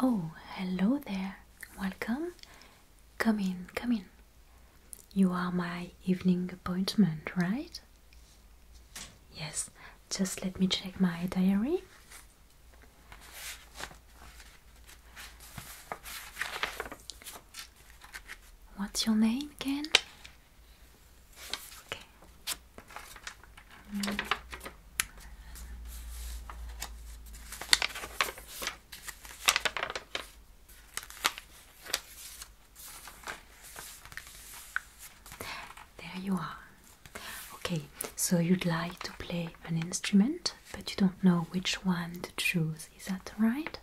Oh, hello there. Welcome. Come in, come in. You are my evening appointment, right? Yes, just let me check my diary. What's your name again? There you are. Okay, so you'd like to play an instrument, but you don't know which one to choose. Is that right?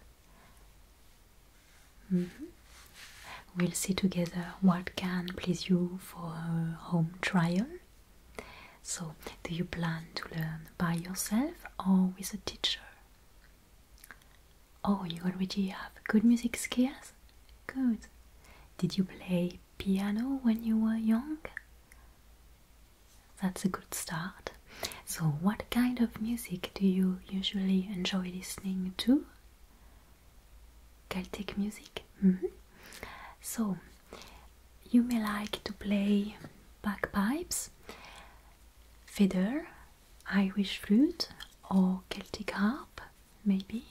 Mm-hmm. We'll see together what can please you for a home trial so, do you plan to learn by yourself or with a teacher? Oh, you already have good music skills? Good. Did you play piano when you were young? That's a good start. So, what kind of music do you usually enjoy listening to? Celtic music? Mm-hmm. So, you may like to play bagpipes, fiddle, Irish flute, or Celtic harp, maybe.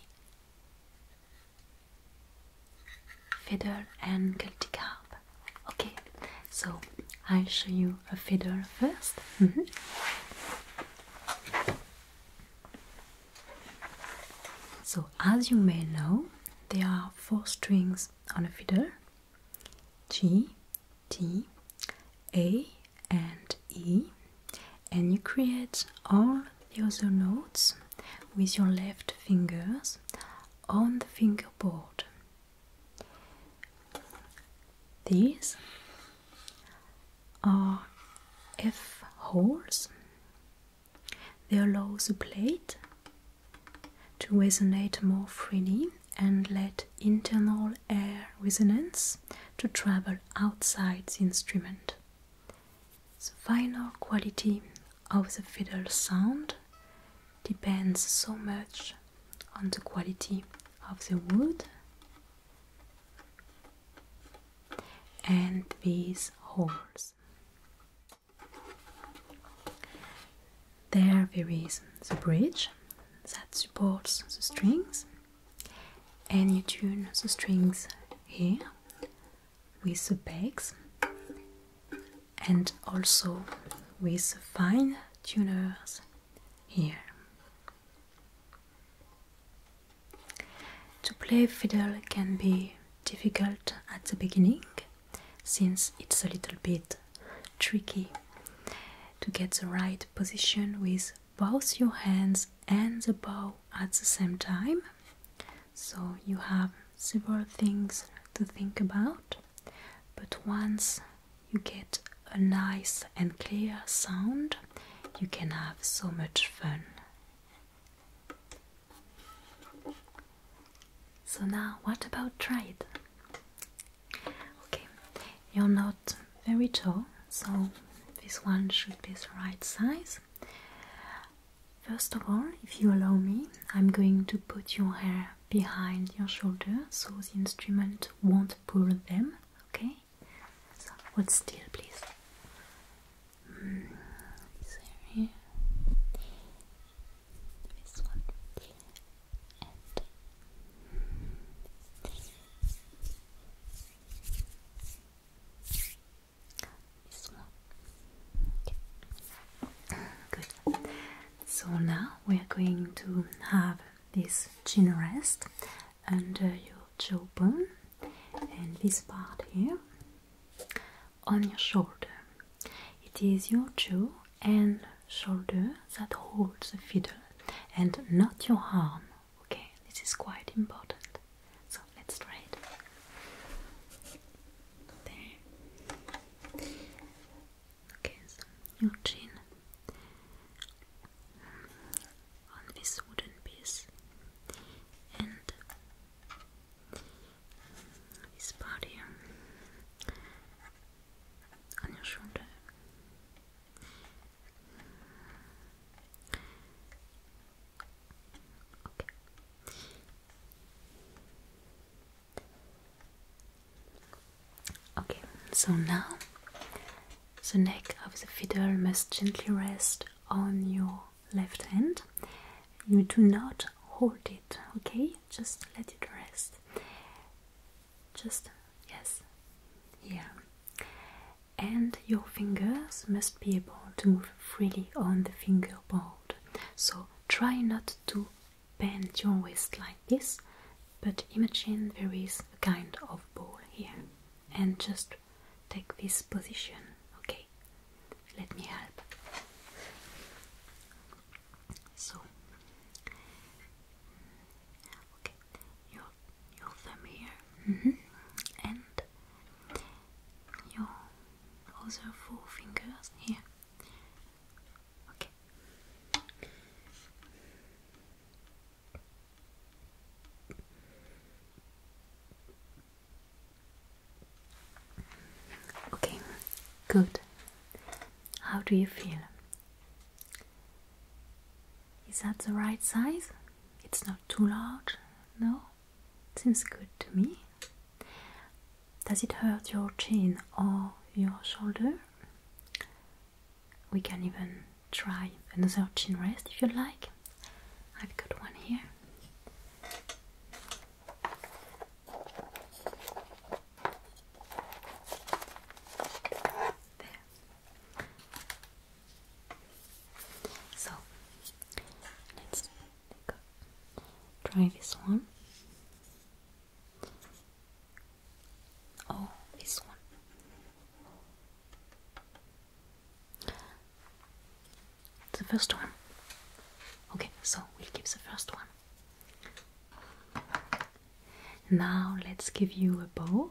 Fiddle and Celtic harp. Okay, so I'll show you a fiddle first. Mm-hmm. So, as you may know, there are four strings on a fiddle G, T, A, and E, and you create all the other notes with your left fingers on the fingerboard. These are F holes they allow the plate to resonate more freely and let internal air resonance to travel outside the instrument. The final quality of the fiddle sound depends so much on the quality of the wood and these holes there is the bridge that supports the strings and you tune the strings here with the pegs and also with fine tuners here. To play fiddle can be difficult at the beginning since it's a little bit tricky to get the right position with both your hands and the bow at the same time. So you have several things to think about, but once you get a nice and clear sound, you can have so much fun. So now what about tried? Okay, you're not very tall, so this one should be the right size. First of all, if you allow me, I'm going to put your hair behind your shoulder so the instrument won't pull them, okay? So still please. So now we are going to have this chin rest under your jawbone and this part here on your shoulder. It is your jaw and shoulder that holds the fiddle and not your arm. Okay, this is quite important. So let's try it. There. Okay, so your chin on this wooden piece and this body um, on your shoulder. Okay. Okay, so now the neck of the fiddle must gently rest on your left hand. You do not hold it, okay? Just let it rest. Just, yes, yeah. And your fingers must be able to move freely on the fingerboard. So try not to bend your wrist like this, but imagine there is a kind of ball here and just take this position. Okay, let me help. So, okay, your your thumb here, mm-hmm. and your other four fingers here. Okay. Okay, good. How do you feel? Is that the right size? It's not too large? No? Seems good to me. Does it hurt your chin or your shoulder? We can even try another chin rest if you like. I've got one here. There. So let's try this one. Oh, this one. The first one. Okay, so we'll keep the first one. Now let's give you a bow.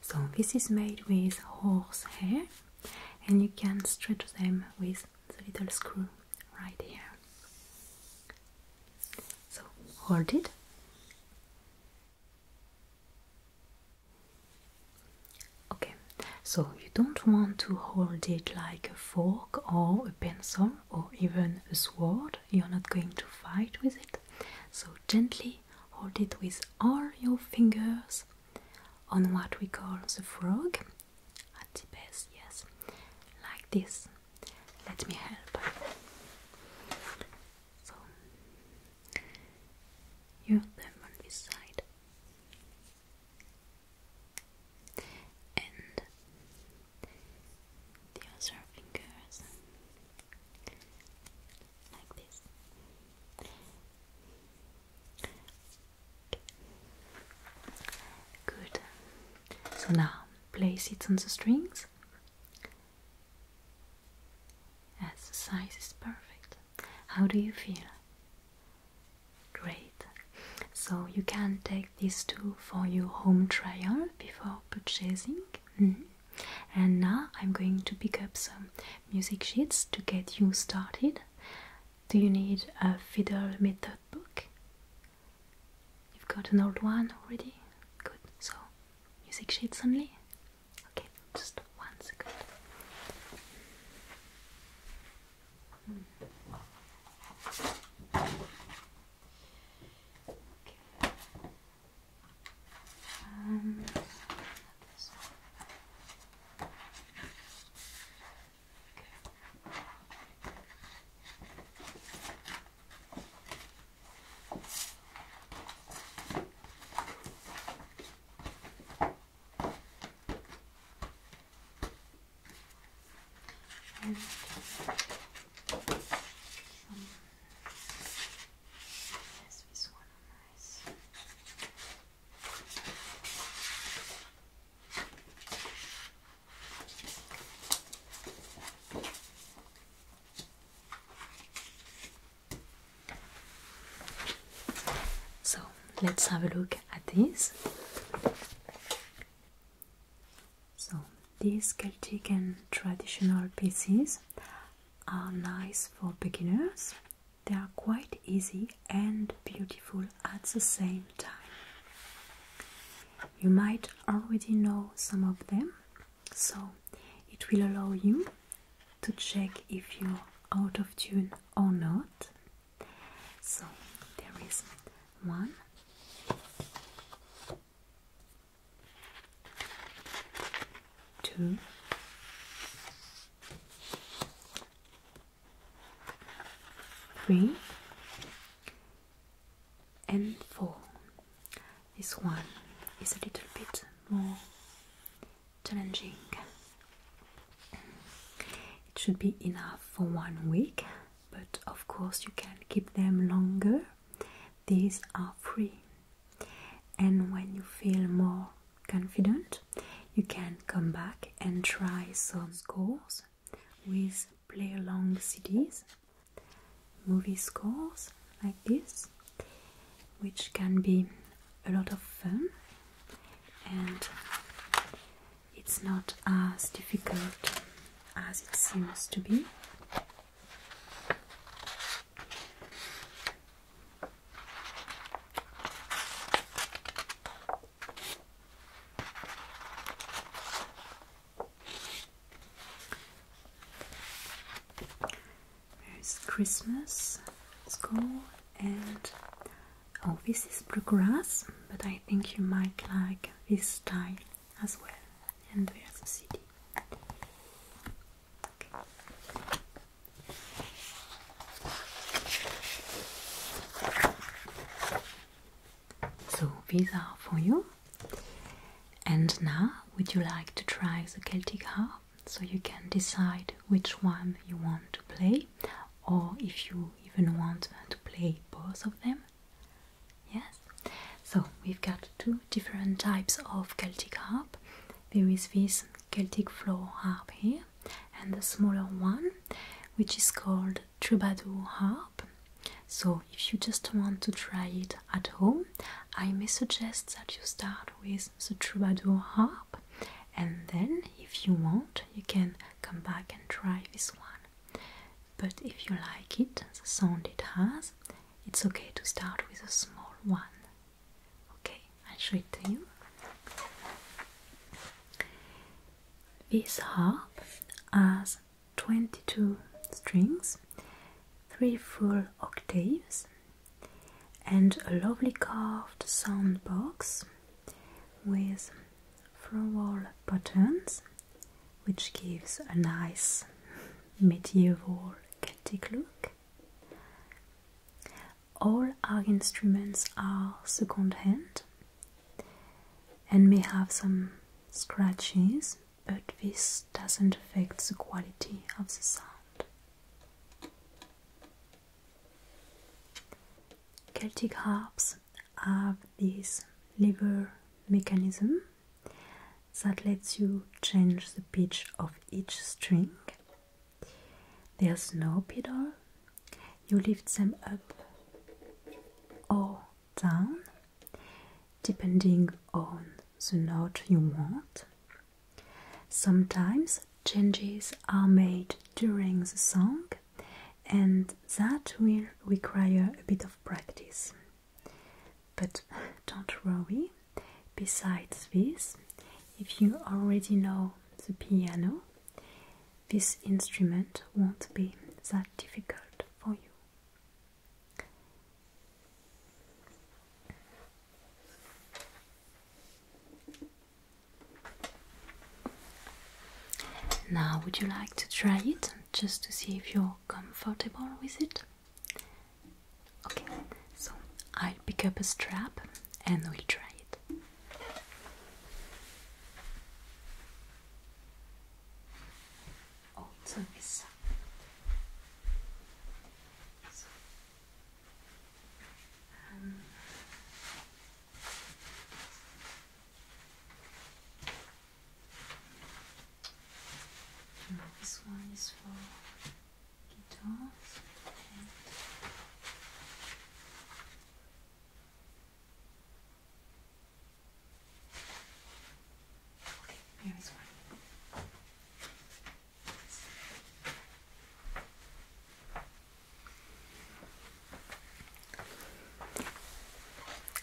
So this is made with horse hair and you can stretch them with the little screw right here. So hold it. Okay, so you don't want to hold it like a fork or a pencil or even a sword, you're not going to fight with it. So gently hold it with all your fingers on what we call the frog at the base, yes, like this. Let me help. So, your thumb on this side, and the other fingers like this. Good. So now place it on the strings as the size is perfect. How do you feel? Great. So you can take these two for your home trial before purchasing. Mm-hmm and now I'm going to pick up some music sheets to get you started. Do you need a fiddle method book? You've got an old one already? Good, so music sheets only? Okay, just one second. Hmm. Um, this Okay. yes, this one. So let's have a look at these. So these Celtic and traditional pieces are nice for beginners. They are quite easy and beautiful at the same time. You might already know some of them, so it will allow you to check if you're out of tune or not. So there is one, two, three, and four. This one is a little bit more challenging. It should be enough for one week, but of course, you can keep them longer. These are free, and when you feel more confident you can come back and try some scores with play along CDs movie scores like this which can be a lot of fun and it's not as difficult as it seems to be there's Christmas, school, and oh, this is bluegrass, but I think you might like this style as well. And there's a city. So these are for you. And now, would you like to try the Celtic harp so you can decide which one you want to play or if you even want to play both of them? Yes? So we've got two different types of Celtic harp. There is this Celtic floor harp here, and the smaller one, which is called troubadour harp. So if you just want to try it at home, I may suggest that you start with the troubadour harp, and then if you want, you can come back and try this one. But if you like it, the sound it has, it's okay to start with a small one. Okay, I'll show it to you. This harp has 22 strings, 3 full octaves, and a lovely carved soundbox box with floral buttons which gives a nice medieval Celtic look. All our instruments are second hand and may have some scratches, but this doesn't affect the quality of the sound. Celtic harps have this lever mechanism that lets you change the pitch of each string. There's no pedal, you lift them up or down depending on the note you want. Sometimes changes are made during the song, and that will require a bit of practice. But don't worry, besides this, if you already know the piano, this instrument won't be that difficult for you. Now, would you like to try it just to see if you're comfortable with it? Okay, so I'll pick up a strap and we'll try it. Oh, so this. So, this one is for guitars okay, here is one.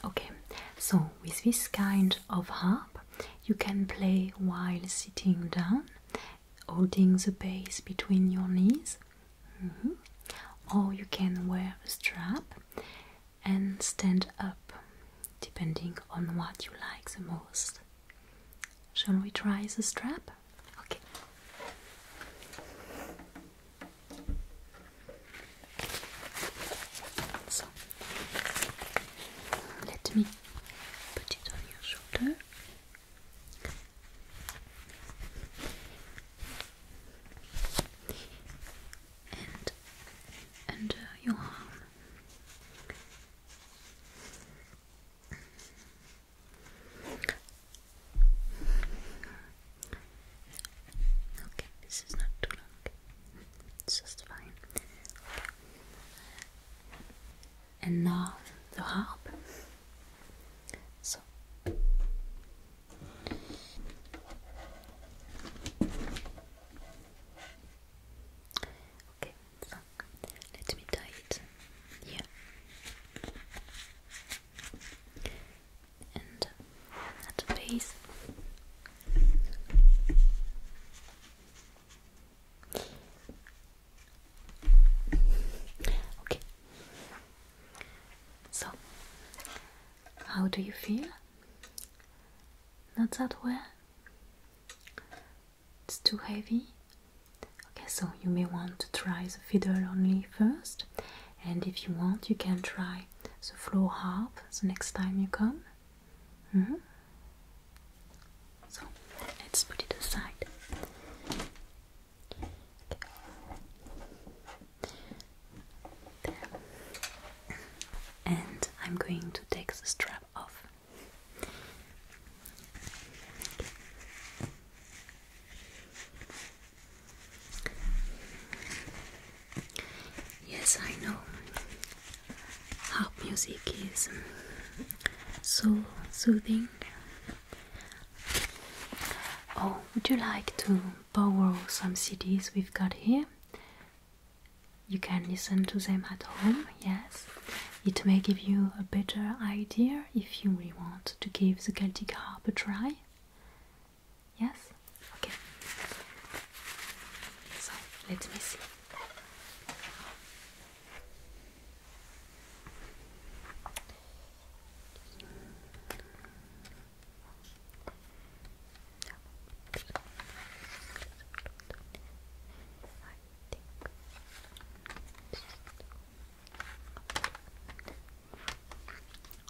Okay, so with this kind of harp, you can play while sitting down, holding the base between your knees, mm-hmm, or you can wear a strap and stand up, depending on what you like the most. Shall we try the strap? Okay. So let me put it on your shoulder. And under your arm. Okay, this is not too long. It's just fine. Okay. And now the harp. So Okay, so let me tie it here and at the base. Okay. So, how do you feel? Not that well? It's too heavy? Okay, so you may want to try the fiddle only first and if you want you can try the floor harp the next time you come mm-hmm. so let's put it aside and I'm going to take the strap off Yes, I know. Pop music is um, so soothing. Oh, would you like to borrow some CDs we've got here? You can listen to them at home, yes. It may give you a better idea if you really want to give the Celtic harp a try. Yes? Okay. So, let me see.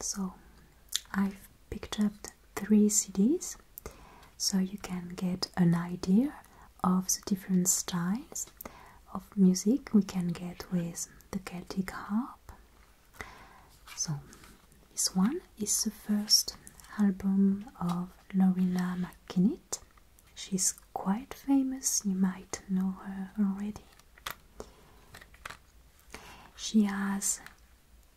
so I've picked up three CDs so you can get an idea of the different styles of music we can get with the Celtic harp. So, this one is the first album of Lorina McKinnitt. She's quite famous, you might know her already. She has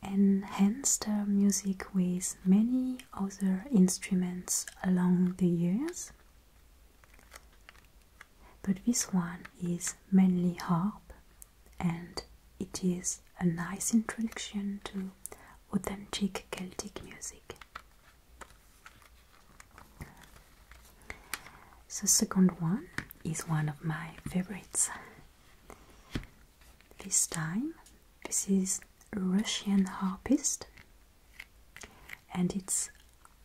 enhanced her music with many other instruments along the years, but this one is mainly harp and it is a nice introduction to authentic Celtic music. The second one is one of my favorites. This time, this is Russian harpist and it's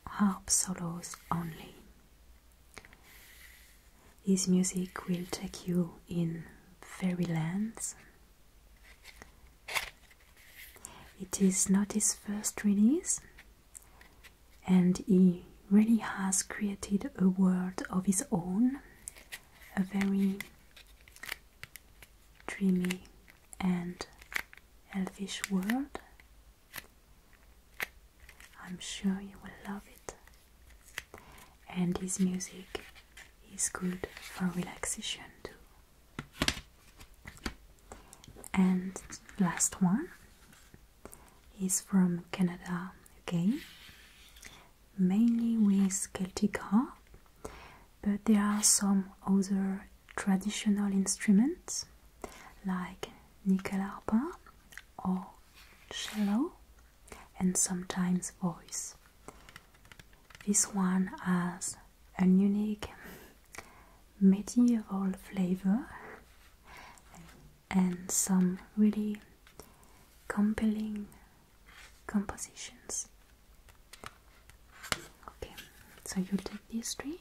harp solos only. His music will take you in fairylands. It is not his first release, and he really has created a world of his own, a very dreamy and elfish world. I'm sure you will love it. And his music is good for relaxation too. And last one is from Canada again, mainly with Celtic harp, but there are some other traditional instruments like nickel harpa or cello and sometimes voice. This one has a unique medieval flavor and some really compelling compositions. Okay, so you take these three.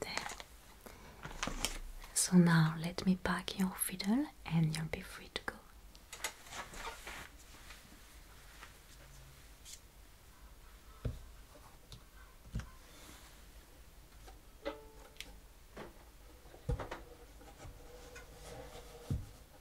There. So now let me pack your fiddle and you'll be free to go.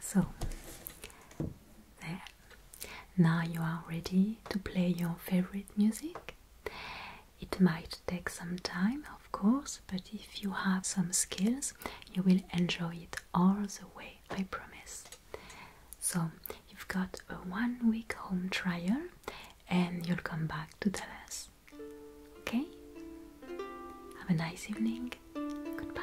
So, Now you are ready to play your favorite music. It might take some time, of course, but if you have some skills, you will enjoy it all the way, I promise. So, you've got a one week home trial and you'll come back to tell us. Okay? Have a nice evening. Goodbye.